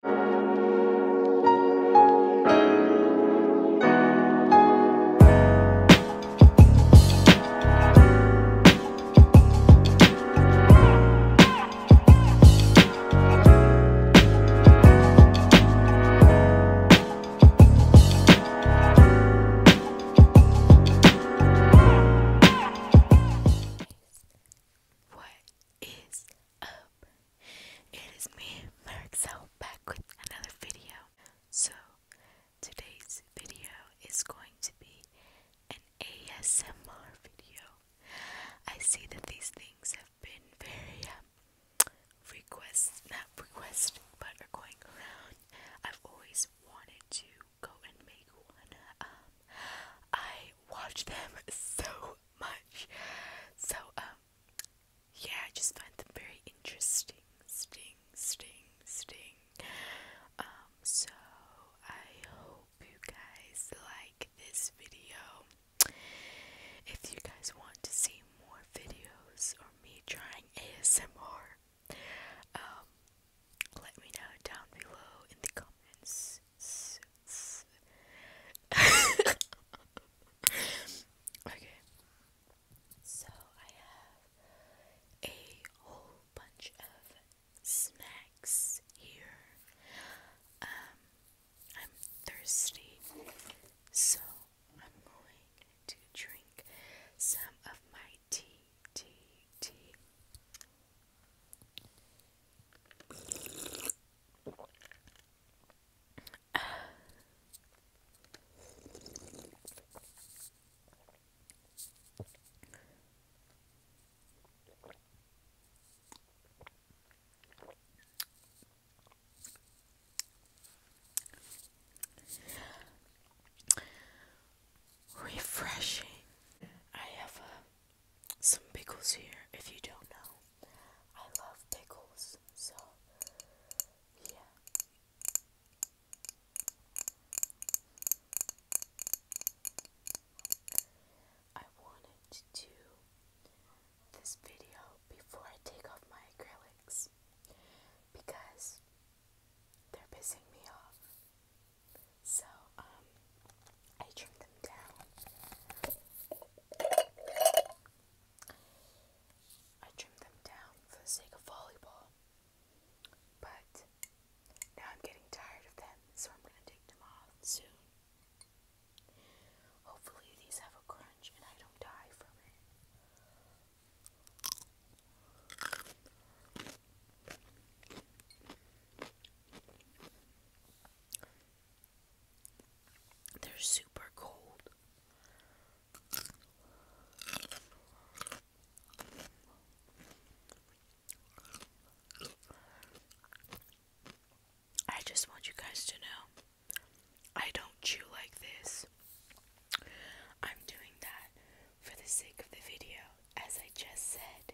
What is up? It is me, Marixel, back with another video. So, today's video is going to be an ASMR video. I see that these things have been very um, not request, but are going around. I've always wanted to go and make one. Um, I watch them so much. So, um, yeah, I just find them very interesting. Um, so I hope you guys like this video. If you guys want to see more videos or me trying ASMR, um, let me know down below in the comments s, s. okay. So I have a whole bunch of snacks here. Um, I'm thirsty, so I'm going to drink some of my tea, tea, tea. Refreshing. I have a some pickles here if you don't know. I love pickles, so yeah. I wanted to do this video before I take off my acrylics because they're pissing me off. So, um, I trim them down. I trimmed them down for the sake of volleyball. But now I'm getting tired of them, so I'm gonna take them off soon. Hopefully these have a crunch and I don't die from it. They're super cold. I just want you guys to know I don't chew like this. I'm doing that for the sake of the video, as I just said.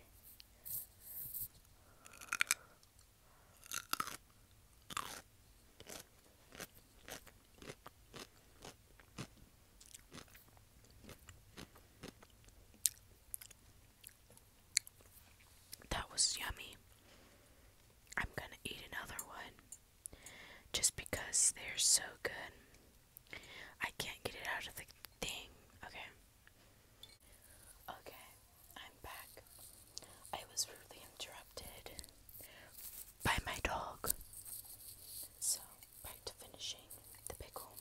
That was yummy. I'm gonna eat another one just because they're so good. I can't get it out of the thing. Okay. Okay, I'm back. I was rudely interrupted by my dog. So, back to finishing the pickle.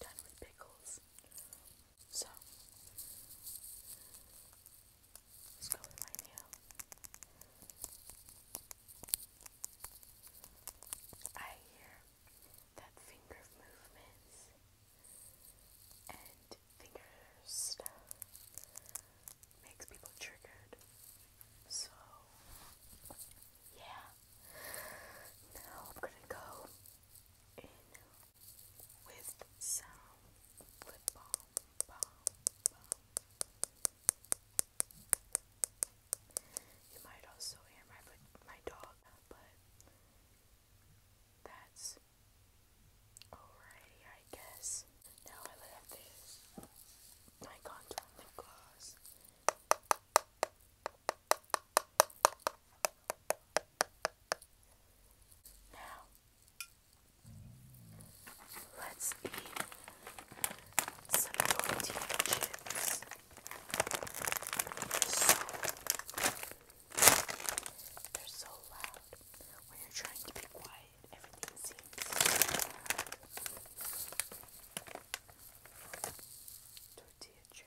Done with So, Let's I hear that finger movements and finger stuff makes people triggered. So, yeah. Now I'm gonna go in with sound, lip balm, balm, balm. You might also hear my my dog, but that's alrighty, I guess. Now I have this my contour gloss. Now Let's eat some tortilla chips. they're so loud. When you're trying to be quiet, everything seems so Tortilla chip.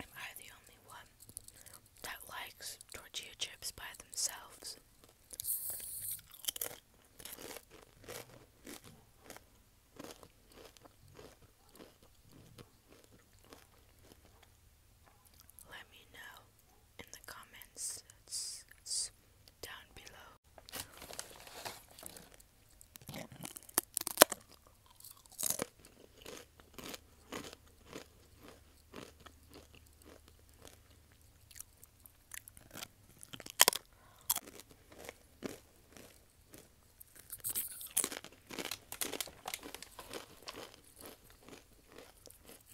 Am I the only one that likes tortilla chips by themselves? Let me know in the comments down below.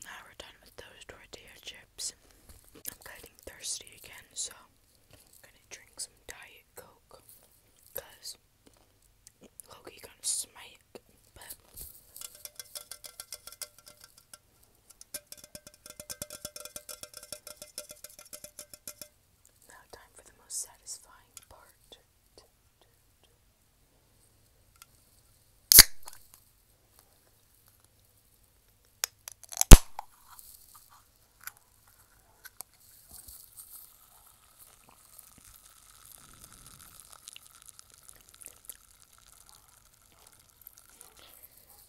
Now we're done with those tortilla chips. I'm getting thirsty again, so I'm gonna drink some Diet Coke. Cause Loki gonna smite, but now time for the most satisfying part.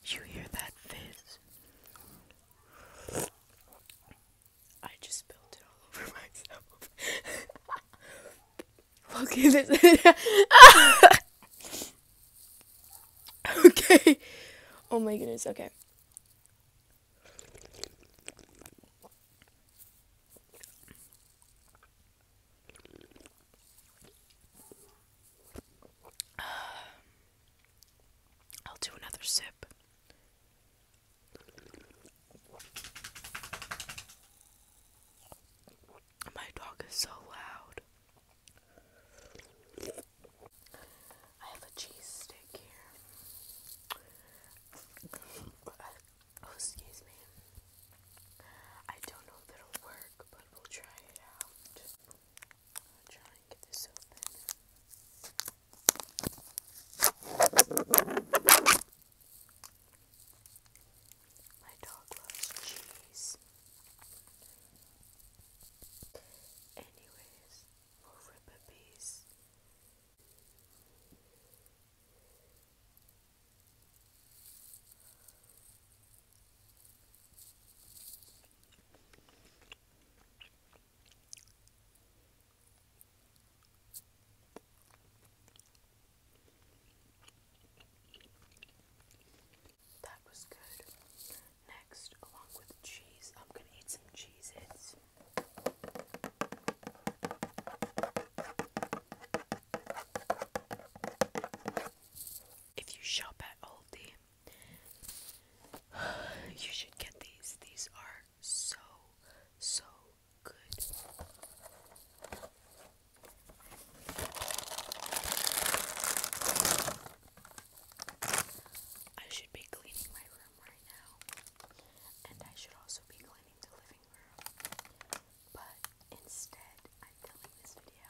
You hear that fizz? I just spilled it all over myself. Okay, this. okay. Oh my goodness. Okay. I'll do another sip. My dog is so loud. I have a cheese stick here. oh, excuse me. I don't know if it'll work, but we'll try it out. I'll try and get this open. My dog loves cheese. Anyways, we'll that was good. Next, along with cheese, I'm gonna eat some cheese If you shop at Aldi, you should get these. These are so, so I should be cleaning my room right now, and I should also be cleaning the living room. But instead, I'm filming this video.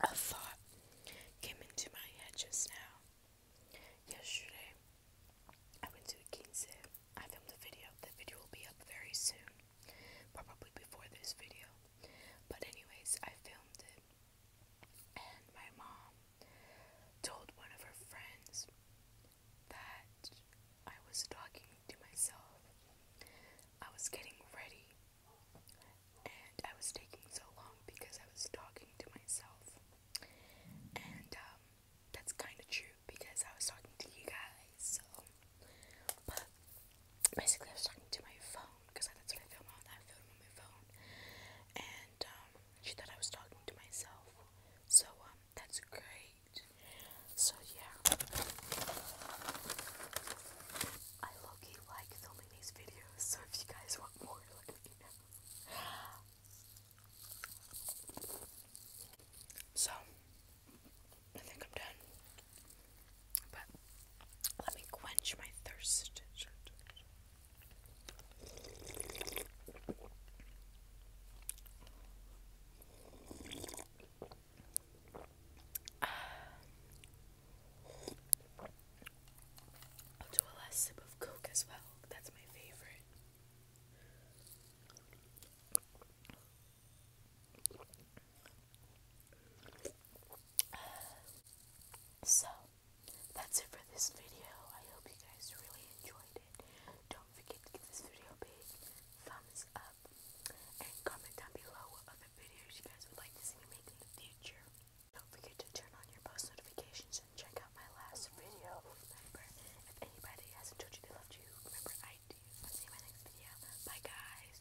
A thought came into my head just now. Yesterday, I went to a Keen I filmed a video. The video will be up very soon, probably before this video. But, anyways, I filmed it, and my mom told one of her friends that I was talking to myself. I was getting ready and I was taking so long because I was talking to myself. And um, that's kind of true because I was talking to you guys. So, but basically, I was talking to my phone because that's what I film on. I film on my phone. And um, she thought I was talking to myself. So, um, that's great. So, yeah. I low like the these videos, so if you guys want more, let me know. So, I think I'm done. But let me quench my thirst do a last sip of Coke as well. That's my favorite. So, that's it for this video. I hope you guys really enjoyed it. Don't forget to give this video a big thumbs up and comment down below other videos you to see Don't forget to turn on your post notifications and check out my last video. if anybody hasn't told you they loved you, remember I do. I'll see you in my next video. Bye guys.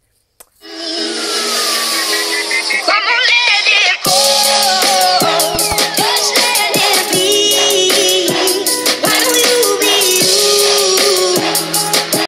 Come on, let it go. Just let it be. Why don't you be you?